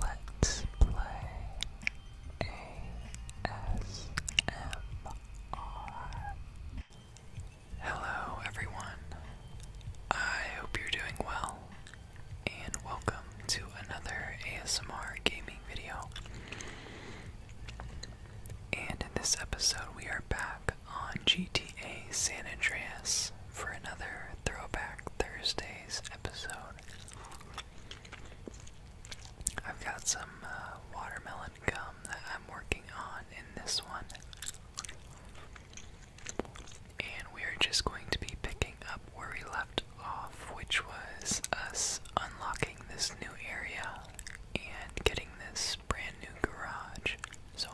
Let's play ASMR. Hello, everyone. I hope you're doing well, and welcome to another ASMR gaming video. And in this episode, we are back on GTA San Andreas for another Throwback Thursday episode. I've got some uh, watermelon gum that I'm working on in this one. And we're just going to be picking up where we left off, which was us unlocking this new area and getting this brand new garage. So,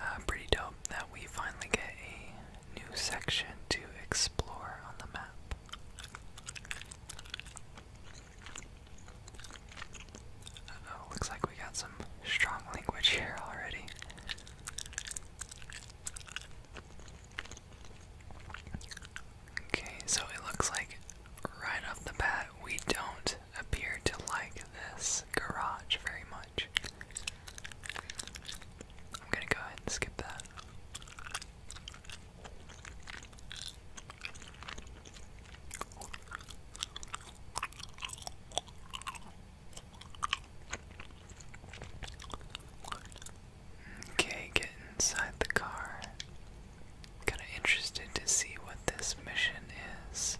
uh, pretty dope that we finally get a new section to explore on the map. looks like we got some strong language here already. Okay, so it looks like right off the bat we don't appear to like this garage very much. I'm gonna go ahead and skip that. Okay, get inside the car. Kinda interested to see what this mission is.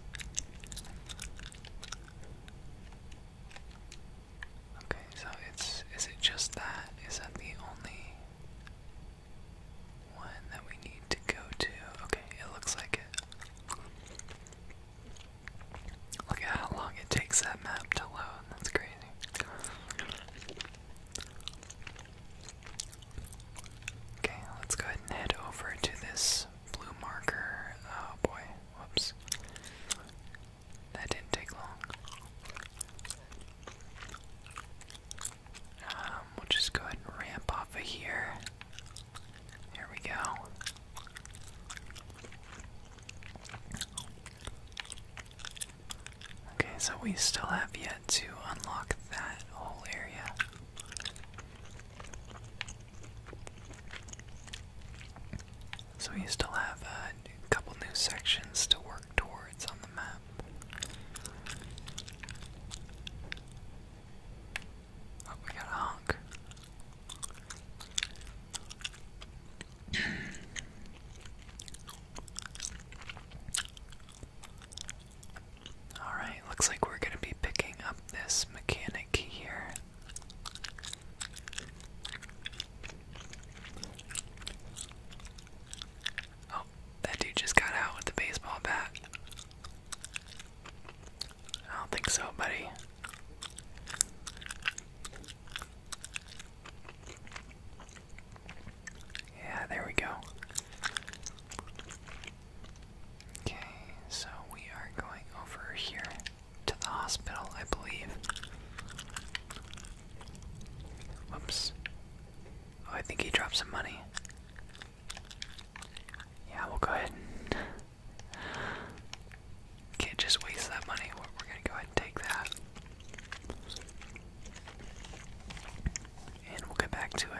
Okay, so it's is it just that? Is that the only one that we need to go to? Okay, it looks like it. Look at how long it takes that map to load. That's crazy. Okay, let's go ahead and head over to this blue marker. Oh boy, whoops. That didn't take long. Um, we'll just go ahead and ramp off of here. There we go. Okay, so we still have yet to unlock that whole area. So we still have a couple new sections to work towards on the map. Oh, we got a honk. Alright, looks like we're going to be picking up this mechanic here. Oh, that dude just got out with the baseball bat. I don't think so, buddy. Yeah, there we go. Okay, so we are going over here to the hospital, I believe. Whoops. Oh, I think he dropped some money. Yeah, we'll go ahead and. Can't just waste that money. We're gonna go ahead and take that. And we'll get back to it.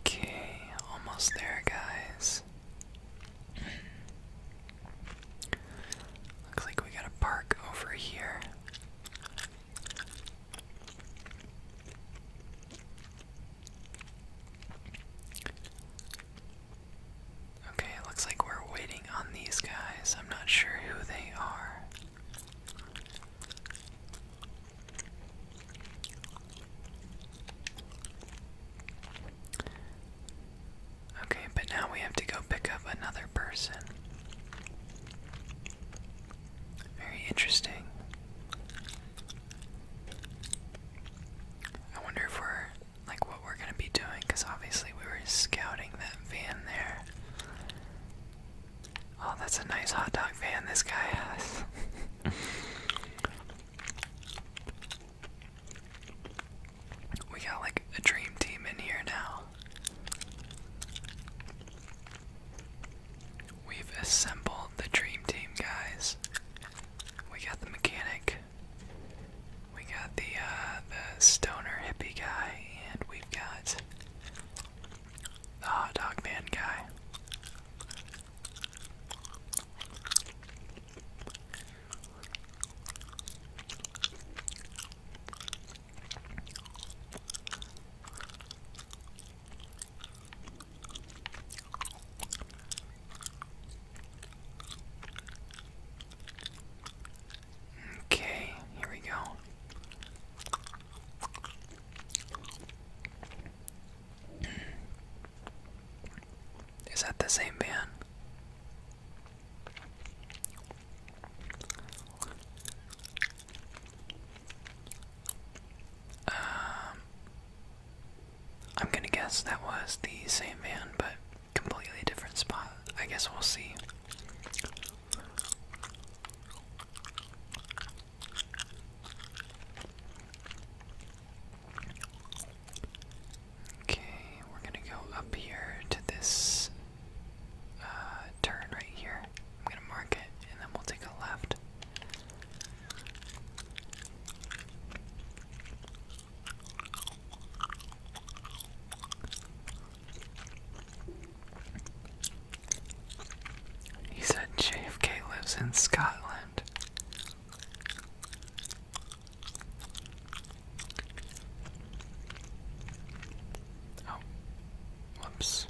Okay, almost there, guys. Looks like we got a park over here. Okay, looks like we're waiting on these guys. I'm not sure who they are. Okay, but now we have to go pick up another person. Very interesting. I wonder if we're like what we're gonna be doing because obviously we were scouting that van there. Oh, that's a nice hot dog fan this guy has. we got like a dream team in here now. We've assembled the dream team, guys. We got the mechanic. We got the uh, the stoner hippie guy, and we've got the hot dog man guy. Okay, here we go. Is that the same van? Um, I'm gonna guess that was the same van, but completely different spot. I guess we'll see. Okay, we're gonna go up here to this uh, turn right here. I'm gonna mark it and then we'll take a left. He said JFK lives in Scotland. Oh, whoops.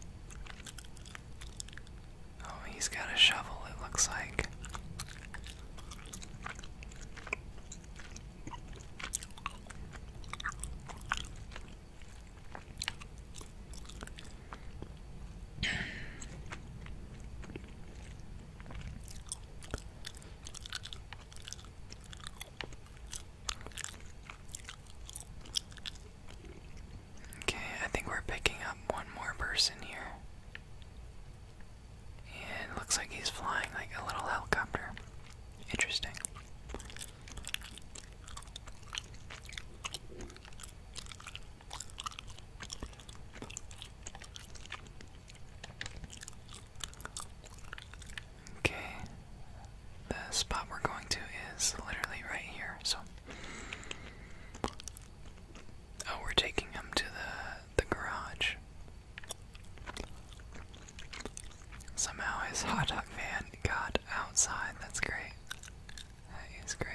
Oh, he's got a shovel, it looks like. Okay, I think we're picking up one more person here. And it looks like he's flying like a little helicopter. Interesting. Okay, the spot we're going to is literally right here, so. Oh, we're taking him to the the garage. Somehow his hot dog van got outside. That's great. That is great.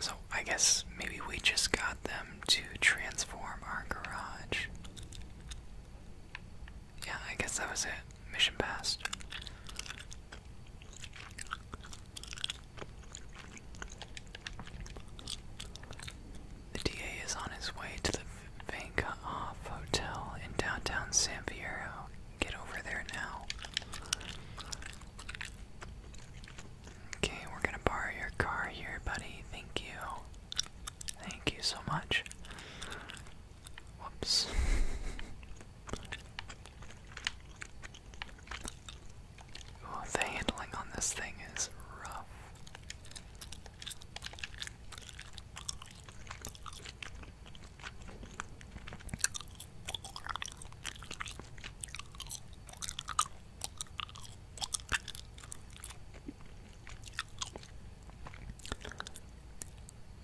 so, I guess maybe we just got them to transform our garage yeah, I guess that was it. Mission passed. The DA is on his way to the Vanka Hotel in downtown San Piero. Get over there now. Okay, we're gonna borrow your car here, buddy. Thank you. Thank you so much. Whoops. the handling on this thing is rough.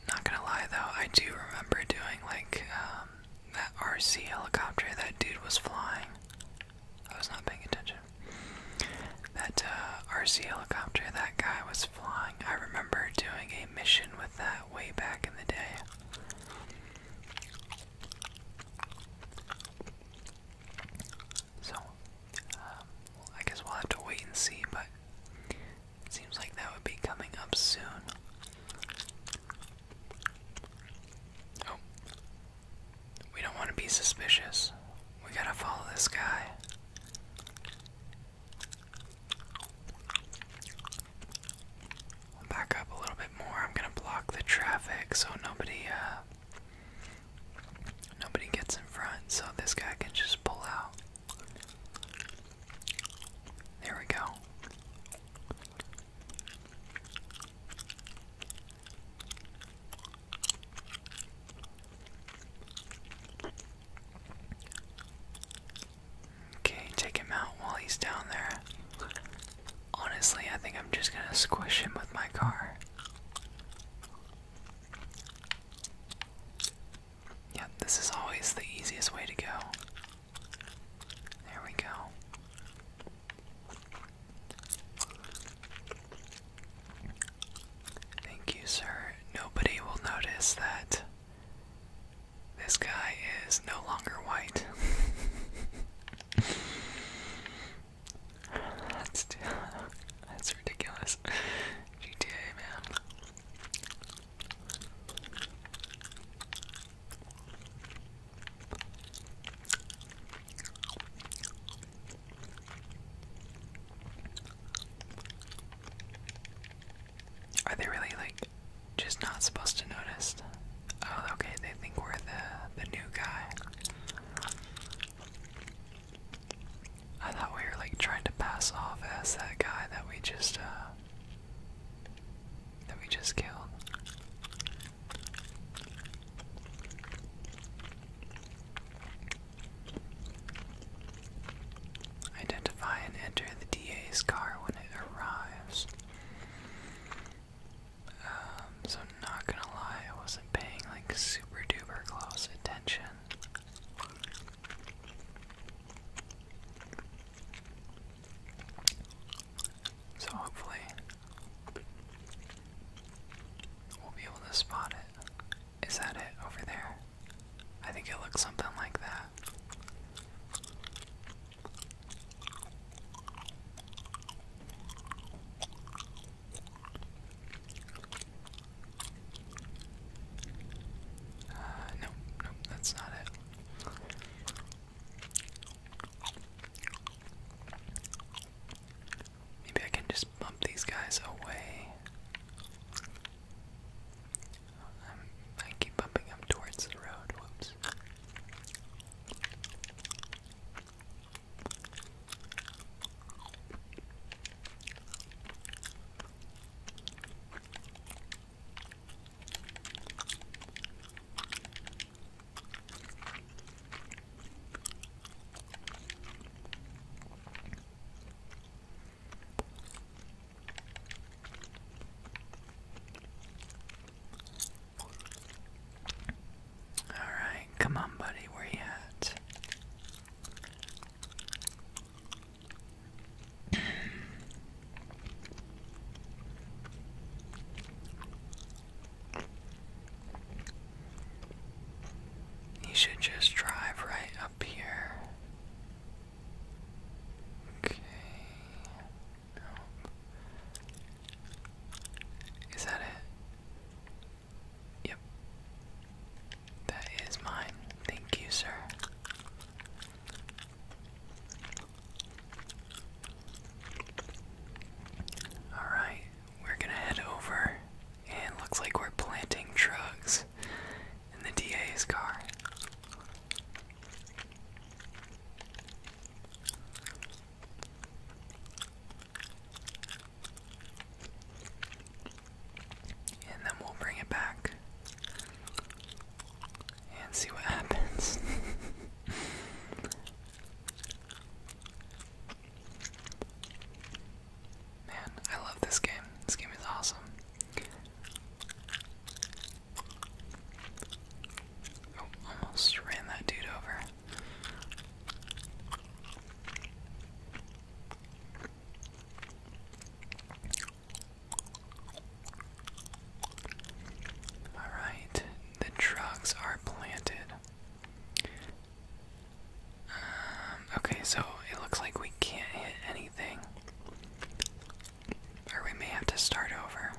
Not gonna lie though, I do remember doing like um, that RC helicopter that dude was flying. I was not paying attention. That uh, RC helicopter that guy was flying. I remember doing a mission with that way back in the day. So, um, I guess we'll have to wait and see, but it seems like that would be coming up soon. Oh. We don't want to be suspicious. We gotta follow this guy. back up a little bit more. I'm gonna block the traffic so nobody uh, Nobody gets in front, so this guy can just pull out. There we go. Okay, take him out while he's down there. Honestly, I think I'm just gonna squish him with my car. Yeah, this is always the easiest way to go. There we go. Thank you, sir. Nobody will notice that this guy is no longer white. That's, ridiculous. GTA, man. Are they really like just not supposed to notice? Oh, okay, they think we're the the new guy. I thought we were like trying to pass off as that guy that we just uh that we just killed. Identify and enter the DA's car when it arrives. Um, so not gonna lie, I wasn't paying like super duper close attention. So hopefully we'll be able to spot it. Is that it over there? I think it looks something like that. Uh, no, no, that's not it. Maybe I can just bump these guys away. Um, I keep bumping them towards the road. Whoops. All right, come on, buddy, where you at? You should just drive right up here. Okay. Nope. Is that it? Yep. That is mine. Thank you, sir. Alright, we're gonna head over, and looks like we're planting drugs in the DA's car. And then we'll bring it back and see what happens. Man, I love this game. This game is awesome. Oh, almost ran that dude over. Alright, the drugs are planted. Um, okay, so it looks like we can't hit anything. Or we may have to start over.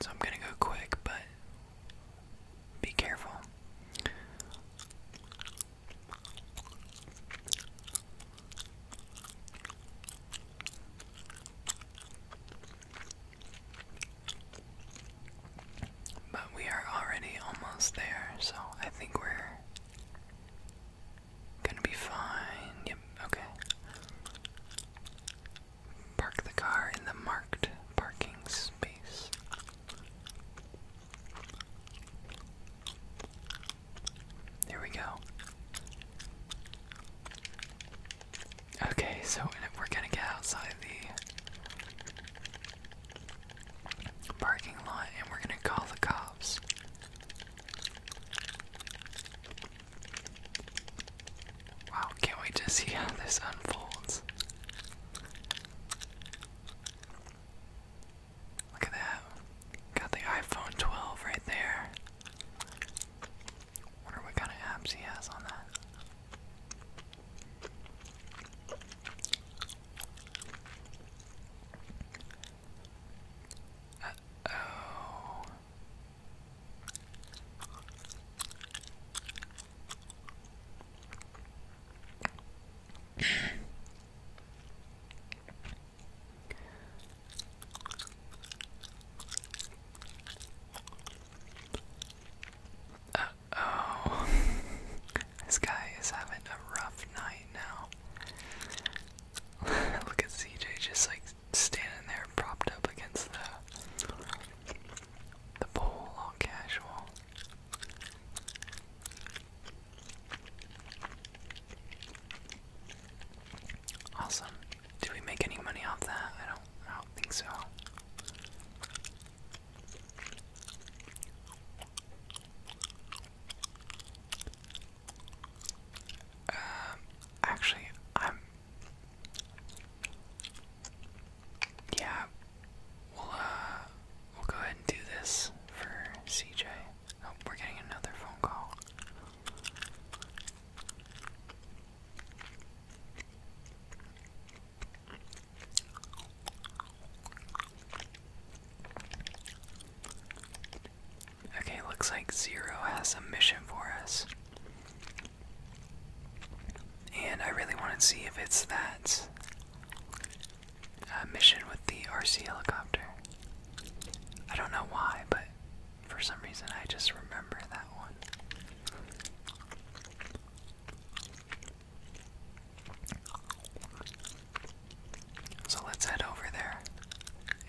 So I'm gonna go quick, but be careful. But we are already almost there, so I think we're gonna be fine. Yep, okay. Park the car in the marked parking space. There we go. Okay, so we're gonna get outside the parking lot and we're gonna call the cops. Wow, can't wait to see how this unfolds. Look at that. Got the iPhone 12 right there. Wonder what kind of apps he has on that. oh. Uh oh. this guy is having a rough night now. Look at CJ just like standing there propped up against the the pole, all casual. Awesome. Did we make any money off that? I don't I don't think so. Um actually I'm yeah, we'll uh, we'll go ahead and do this for CJ. Oh, we're getting another phone call. Okay, looks like Zero has a mission for us. And I really want to see if it's that uh, mission with the RC helicopter. I don't know why, but for some reason I just remember that one. So let's head over there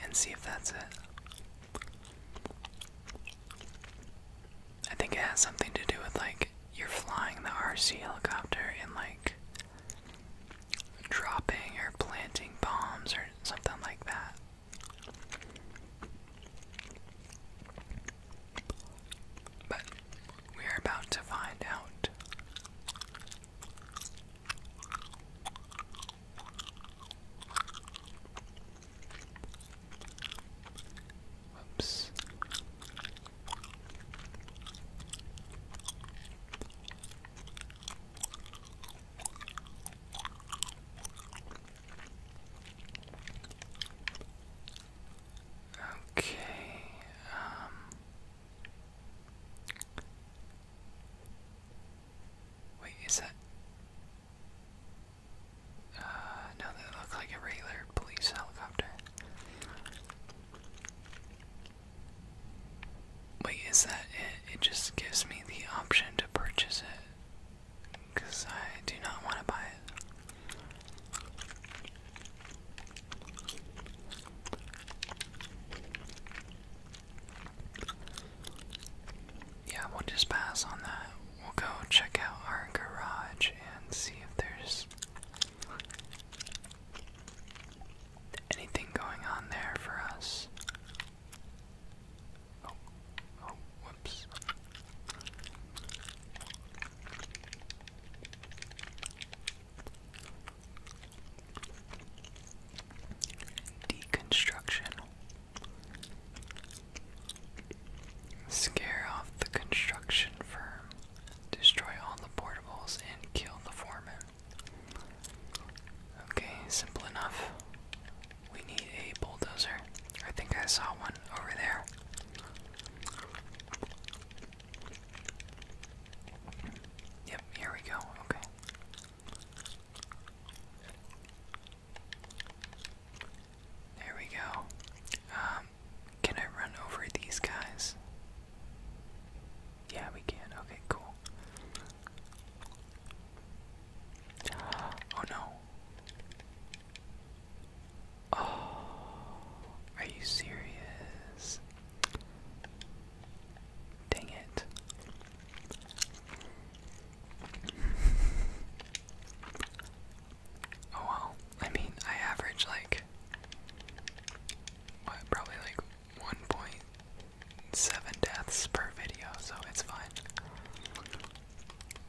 and see if that's it. I think it has something to do with like you're flying the RC helicopter and like dropping or planting bombs or something like that. But we are about to find out. Whoops. Okay, um, Wait, is that uh, no, they look like a regular police helicopter. Wait, is that it? It just gives me the option to purchase it. Because I do not want to buy it. Yeah, we'll just pass on that we'll go check out our garage and see if there's anything going on there for us. Oh, oh, whoops. Deconstruction. Scare off the construction firm, destroy all the portables, and kill the foreman. Okay, simple enough. We need a bulldozer. I think I saw one over there. Yep, here we go. Okay. There we go. Um, can I run over these guys? Yeah, we can. Okay, cool. Oh no. Oh, are you serious? Dang it oh well. I mean, I average like probably like 1.7 deaths per video, so it's fine.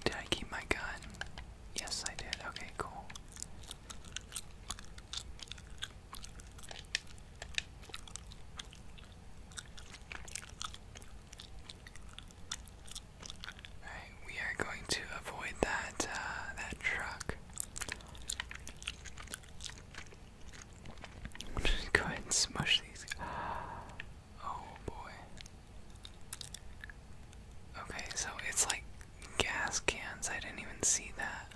Did I keep my gun? Yes, I did. Okay, cool we are going to avoid that uh, that truck. go ahead and smush these. Oh boy. Okay, so it's like gas cans. I didn't even see that.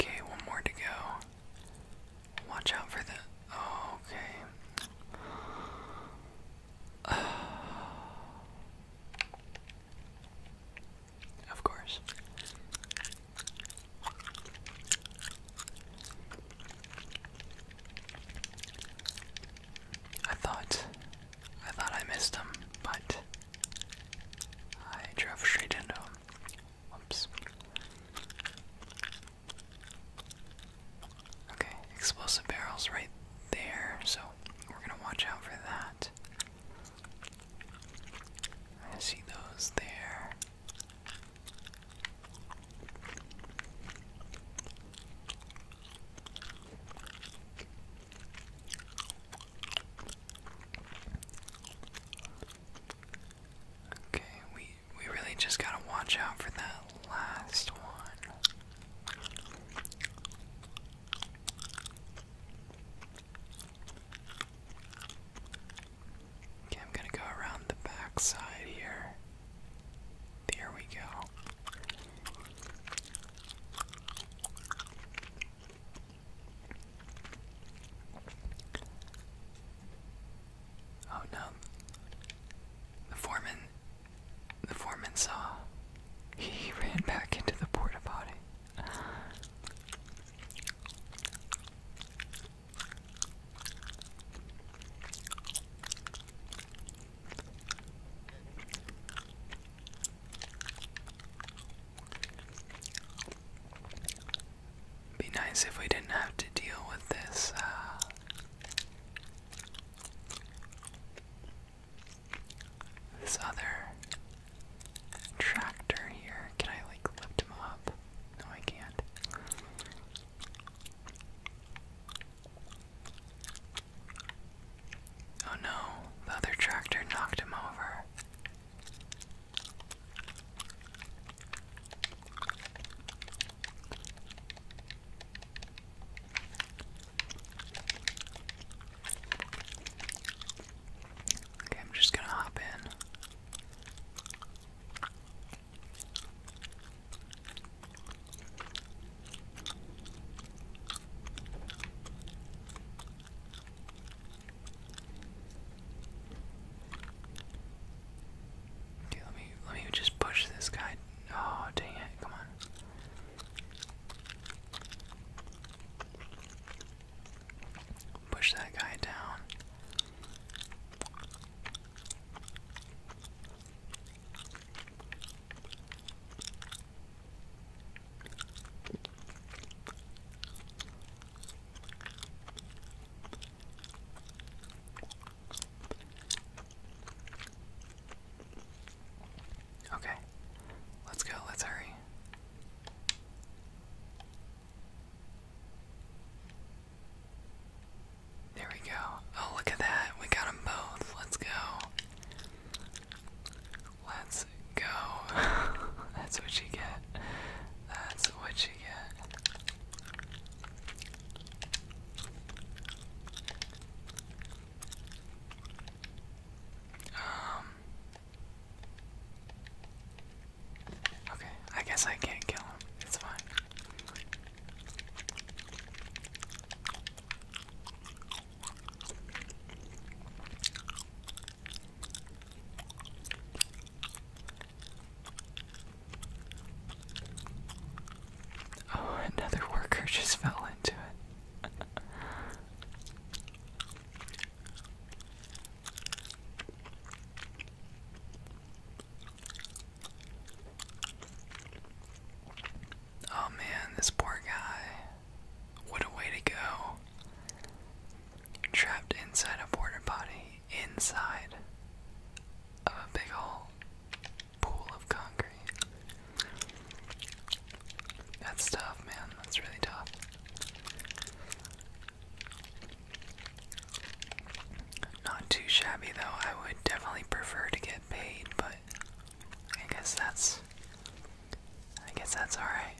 Okay, one more to go. Watch out for the. okay. of course. I thought I thought I missed him, but I drove straight into him. Whoops. Okay, explosive barrels right there, so we're gonna watch out for that. I see those there. Okay, we we really just gotta watch out for that last one. Okay, I'm gonna go around the back here. There we go. Oh no. The foreman the foreman saw. He ran back into the porta potty. Be nice if we didn't have to deal with this uh, this other tractor here. Can I like lift him up? No, I can't. Oh no, the other tractor knocked him over. Okay, I'm just gonna hop in. Dude, let me let me just push this guy. Oh dang it! Come on. Push that guy down. Okay, let's go, let's hurry. There we go. Oh, look at that. We got them both. Let's go. Let's go. That's what you get. That's what you get. Um. Okay, I guess I can't kill him. It's fine. Oh, another worker just fell into it. Oh man, this poor guy. What a way to go. Trapped inside a porta body, inside of a big hole, pool of concrete. That's tough, man. That's really tough. Not too shabby, though. I would definitely prefer to get paid, but I guess that's I guess that's all right.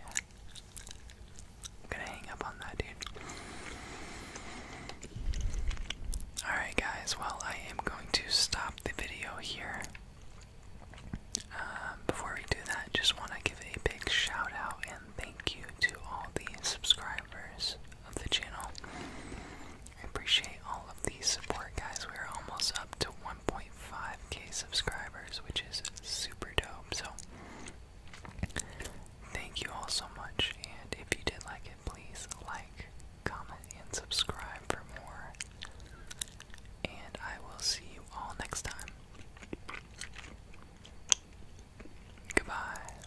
I'm gonna hang up on that dude. All right, guys. Well, I am going to stop the video here. Um, before we do that, just want to give a big shout out and thank you to all the subscribers of the channel. I appreciate all of these support, guys. We're almost up to 1.5k subscribers, which is super dope. So, thank you all so much. And if you did like it, please like, comment, and subscribe for more. And I will see you all next time. Goodbye.